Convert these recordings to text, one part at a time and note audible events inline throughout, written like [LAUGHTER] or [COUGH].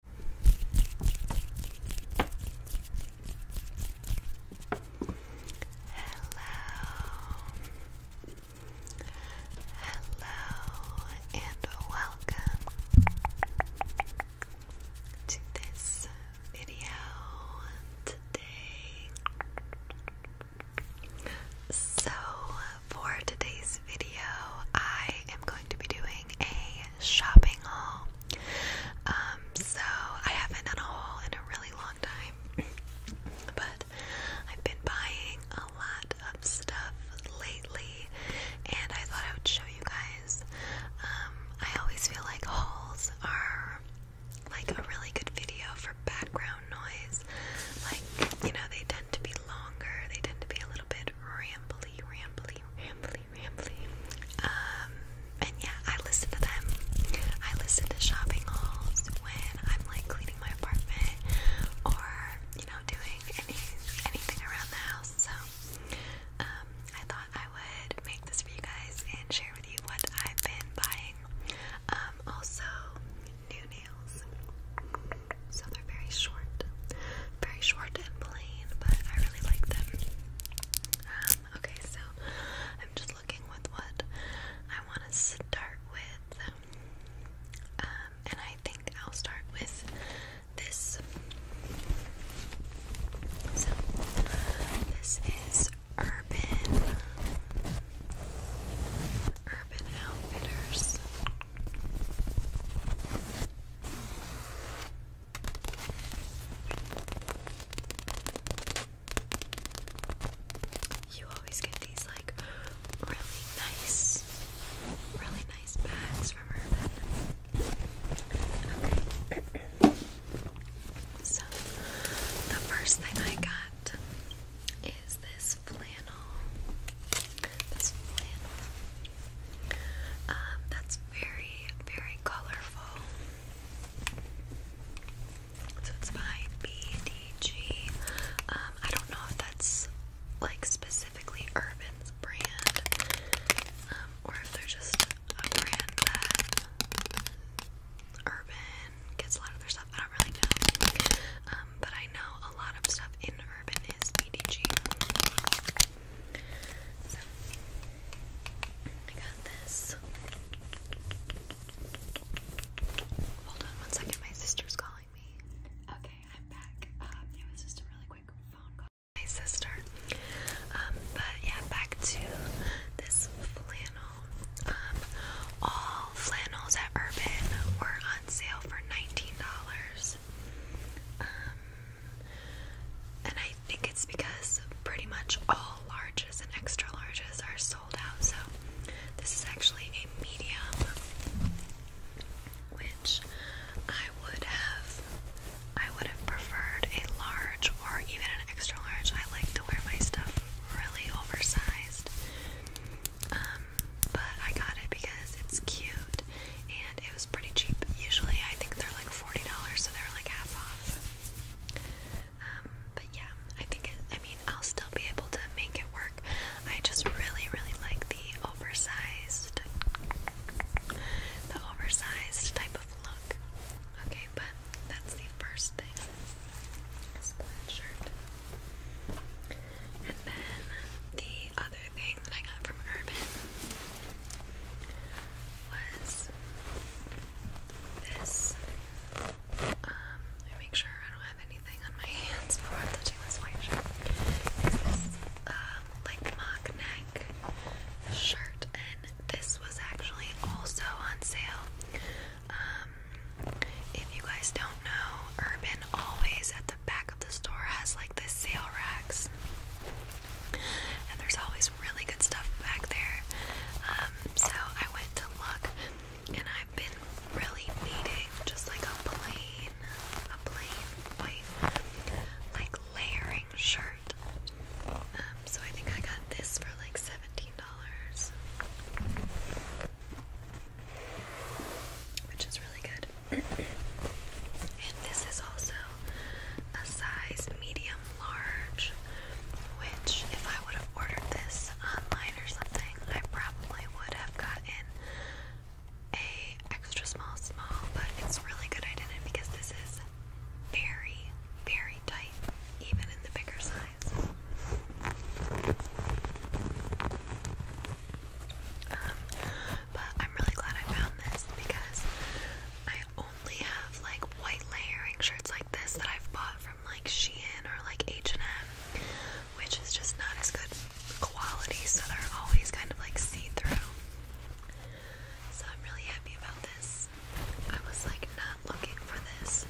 Hello and welcome to this video today. So, for today's video, I am going to be doing a shopping haul. Um, so I haven't done a haul in a really long time, [CLEARS THROAT] but I've been buying a lot of stuff lately, and I thought I would show you guys. Um, I always feel like hauls are like a really good video for background noise. Like, you know, they tend to be longer, they tend to be a little bit rambly, rambly, rambly, pretty rambly. Um, and yeah, I listen to them. I listen to shopping hauls when I'm like cleaning my apartment or you know doing any anything around the house. So um, I thought I would make this for you guys and share with you what I've been buying. Um, also, new nails so they're very short, very short and plain, but I really like them. Um, okay, so I'm just looking with what I want to start with, um, and I think I'll start with this. this is Urban Urban Outfitters. You always get these like really nice, really nice bags from Urban. Okay. So the first thing I got is this flannel um, that's very, very colorful. So it's by BDG. Um, I don't know if that's like specifically Urban's brand, um, or if they're just a brand that Urban gets a lot of their stuff. I don't really know. but I know a lot of stuff in Urban is BDG. So, I got this. Hold on one second, my sister's calling me. Okay, I'm back. it was just a really quick phone call. My sister. Um, but yeah, back to this flannel. Um, all flannels at Urban were on sale for $19. Um, and I think it's because pretty much all larges and extra larges are sold out. So this is actually a medium, which I would have I would have preferred a large or even an extra large. I like to wear my stuff really oversized. Um, but I got it because it's cute and it was pretty cheap. Usually, I think they're like forty dollars, so they're like half off. Um, but yeah, I think I mean I'll still be able to make it work. I just really, really like the oversized, the oversized type of look. Okay, but that's the first thing. Is that shirt. And then the other thing that I got from Urban was this. Um, make sure I don't have anything on my [LAUGHS] hands before touching this white shirt. It's this um, like mock neck shirt, and this was actually also on sale. Um, if you guys don't know, Urban always at back of the store has like the sale racks, and there's always really good stuff back there. Um, so I went to look, and I've been really needing just like a plain, a plain white, like layering shirt. Um, so I think I got this for like seventeen dollars. Which is really good and this is also a size medium large, which if I would have ordered this online or something, I probably would have gotten a extra small small, but it's really good I didn't because this is very, very tight, even in the bigger size. Um, but I'm really glad I found this because I only have like white layering shirts like this that I've bought from like Shein or like H&M, which is just not as good quality, so they're always kind of like see-through. So I'm really happy about this. I was like not looking for this.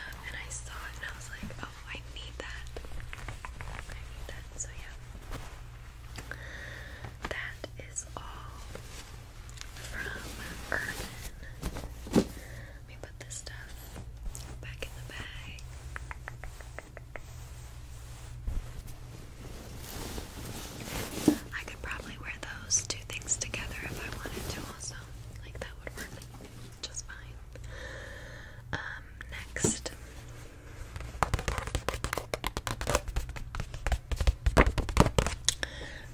Um, and I saw it and I was like, oh, I need that. I need that. So yeah. That is all from Urban. Let me put this stuff back in the bag. I could probably wear those two things together if I wanted to, also. Like that would work just fine. Um, next,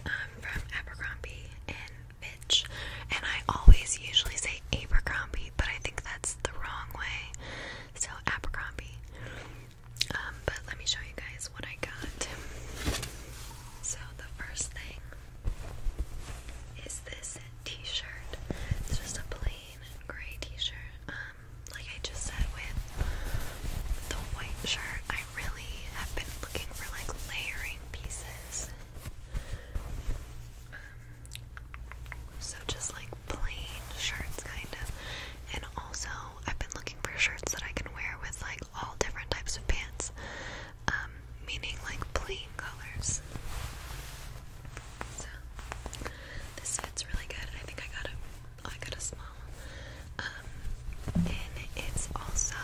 um, from Abercrombie and Fitch, and I always usually say Abercrombie, but I think that's the wrong way. So Abercrombie. Um, but let me show you guys what I got. So the first thing is this T-shirt. It's just a plain plain gray t-shirt. Um, like I just said with the white shirt, I really have been looking for like layering pieces. Um, so just like plain shirts kind of. And also I've been looking for shirts that I can wear with like all different types of pants. Um, meaning like plain colors. So this fits really good. I think I got a got a small. Um, and it's also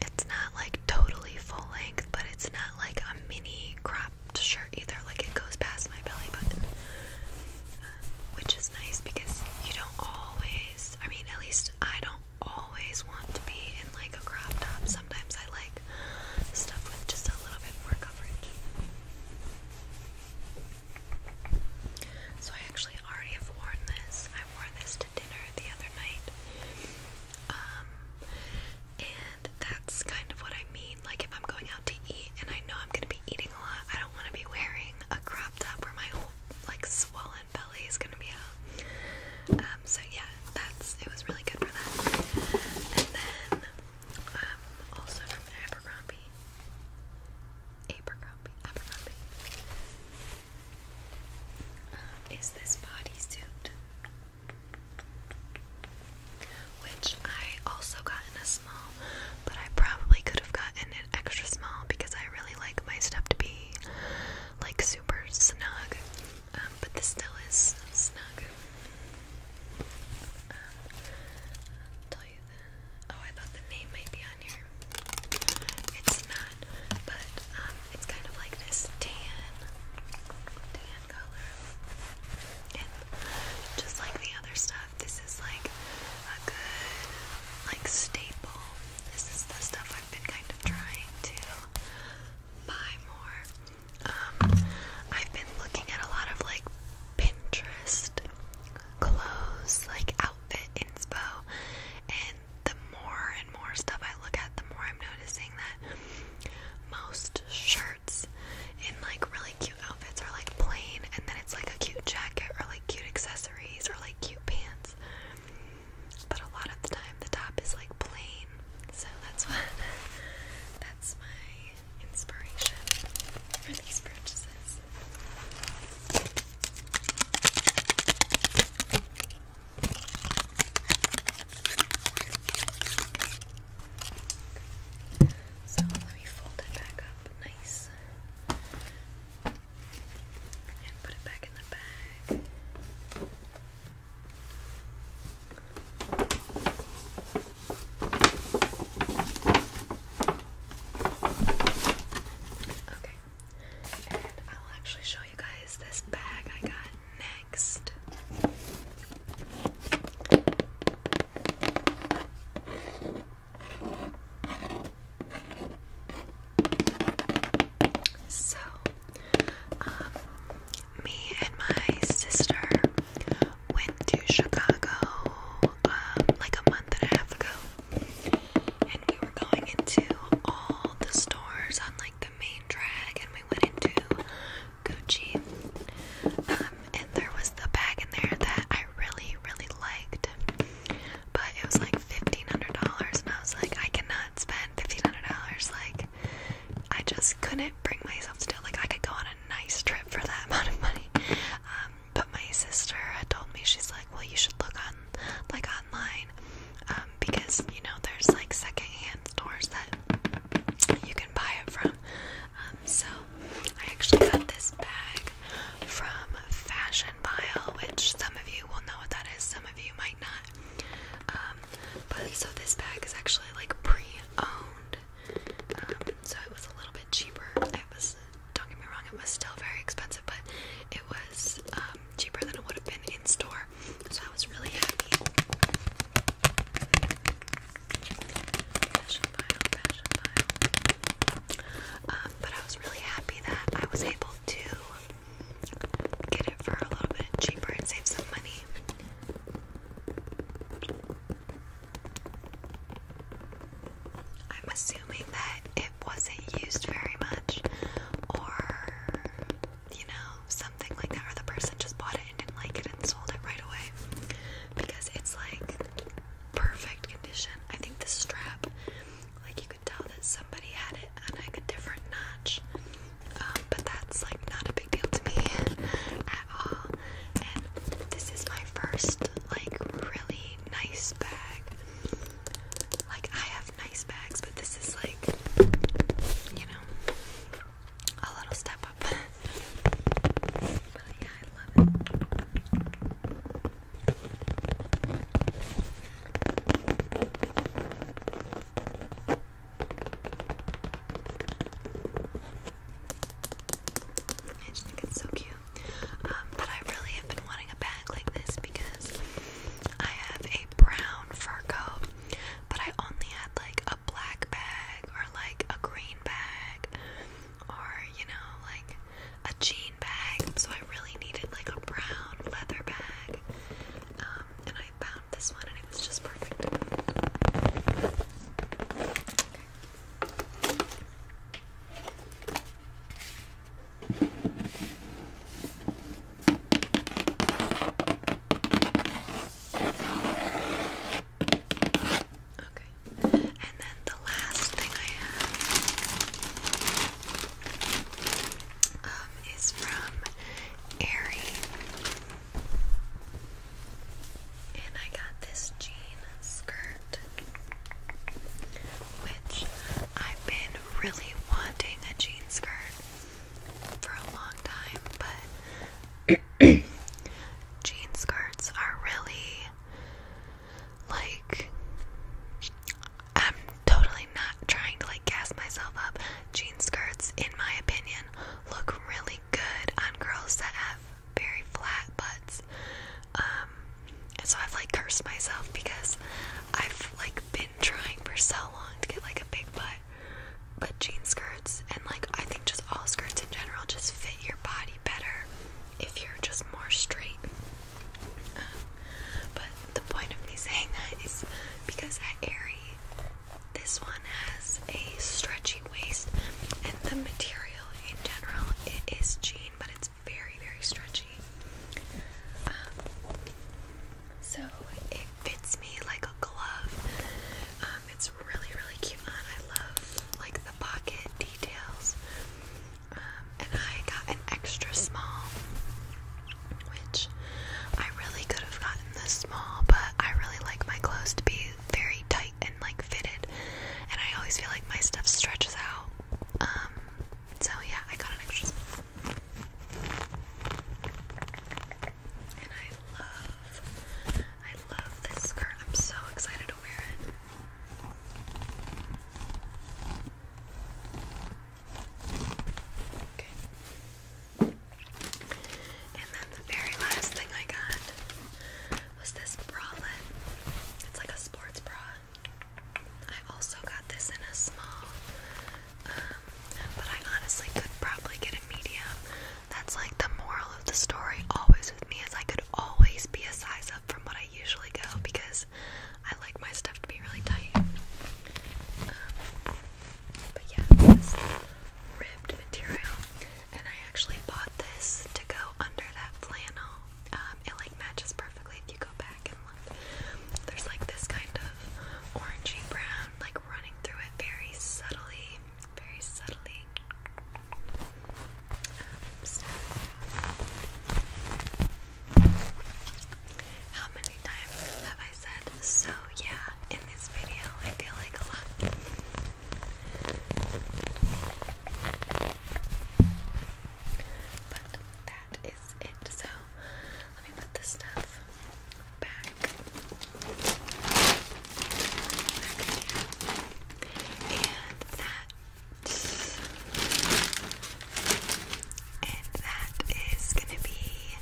it's not like totally full length, but it's not like a mini cropped shirt either. Like it goes past my belly button. Um, which is nice because you don't always I mean at least I don't always want to be in like a crop top. Sometimes I like stuff with just a little bit more coverage. So I actually already have worn this. I wore this to dinner the other night. Um, and that's kind of what I mean. Like if I'm going out to eat and I know I'm gonna be eating a lot, I don't wanna be wearing a crop top where my whole like swollen belly is gonna be out. Um, so yeah, that's it was really good for that. And then um, also from Abercrombie. Abercrombie, Abercrombie. Um, is this bodysuit, which I also got in a small, but I probably could have gotten an extra small because I really like my stuff to be like super snug. Um, but this still is snug. I'll tell you the. Oh, I thought the name might be on here. It's not, but um, it's kind of like this tan, tan color. And just like the other stuff, this is like a good, like staple. This is the stuff I've been kind of trying to buy more. Um, I've been looking at a lot of like Pinterest clothes, like outfit inspo, and the more and more stuff I look at, the more I'm noticing that most shirts in like really cute outfits are like plain, and then it's like a cute jacket or like cute accessories or like cute pants. But a lot of the time, the top is like plain, so that's what [LAUGHS] that's my inspiration for these purchases. So let me fold it back up nice and put it back in the bag. Okay, and I will actually show you guys this bag I got next. So, um, me and my sister went to Chicago um, like a month and a half ago, and we were going into all the stores on like the main drag, and we went into Gucci, um, and there was the bag in there that I really, really liked, but it was like fifteen hundred dollars, and I was like, I cannot spend fifteen hundred dollars, like. I just couldn't can't bring myself to do it. Like, I could go on a nice trip for that [LAUGHS] amount of money. Um, but my sister had told me, she's like, well, you should look on, like, online, um, because, you know, there's, like, secondhand stores that you can buy it from. Um, so, I actually got this bag from Fashion Pile, which some of you will know what that is, some of you might not. Um, but so this bag is actually like pre-owned um, so it was a little bit cheaper. It was, don't get me wrong, it was still very expensive, but it was um, cheaper than it would have been in store, so I was really happy. Um, but I was really happy that I was able to get it for a little bit cheaper and save some money. I'm assuming that it wasn't used very much, or you know, something like that, or the person just bought it and didn't like it and sold it right away because it's like perfect condition. I think the strap, like, you could tell that somebody had it on like a different notch um, but that's like not a big deal to me at all. And this is my first like really nice bag. Like I have nice bags, but this is like you know a little step up. [LAUGHS] but yeah, I love it. I just think it's so cute. Um, but I really have been wanting a bag like this because I have a brown fur coat, but I only had like a black bag or like a green bag or you know, like a jean bag. So I really needed like a brown leather bag. Um, and I found this one and it was just perfect. Okay. and then the last thing I have um, is from Aerie. And I got this jean skirt, which I've been really wanting a jean skirt for a long time, but [CLEARS THROAT] jean skirts are really like I'm totally not trying to like gas myself up. Jean skirts, in my opinion, look really good on girls that have very flat butts. Um, and so I've like cursed myself because I've like been trying for so long to get like a big butt. But jean skirts and like I think just all skirts in general just fit your body better if you're just more straight. Um, but the point of me saying that is because at airy. This one has a stretchy waist, and the material in general it is jean, but it's very very stretchy. Um, so it fits me like a glove. Um, it's really really cute on. I love like the pocket details. Um, and I got an extra small, which I really could have gotten this small, but I really like my clothes to be very tight and like fitted, and I always feel like my stuff stretches out. Um, so yeah, I got an extra small. And I love, I love this skirt. I'm so excited to wear it. Okay. And then the very last thing I got was this bralette. It's like a sports bra. I also got this in a small, um, but I honestly could probably get a medium. That's like the moral of the story always with me is I could always be a size up from what I usually go because I like my stuff to be really tight. Um, but yeah, this ribbed material. And I actually bought this to go under that flannel. Um, it like matches perfectly if you go back and look. There's like this kind of orangey brown like running through it very subtly. Very subtly. Um, how many times have I said so yeah in this video. I feel like a lot. But that is it. So let me put the stuff back. And that. And that is gonna be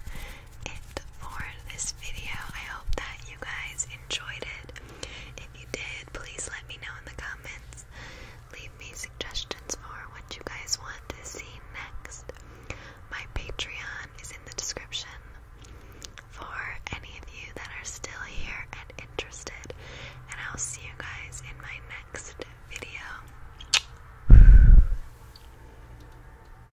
for this video. I hope that you guys enjoyed it. If you did, please let me know in the comments. Leave me suggestions for what you guys want to see next. My Patreon is in the description. For any of you that are still here and interested, and I'll see you guys in my next video.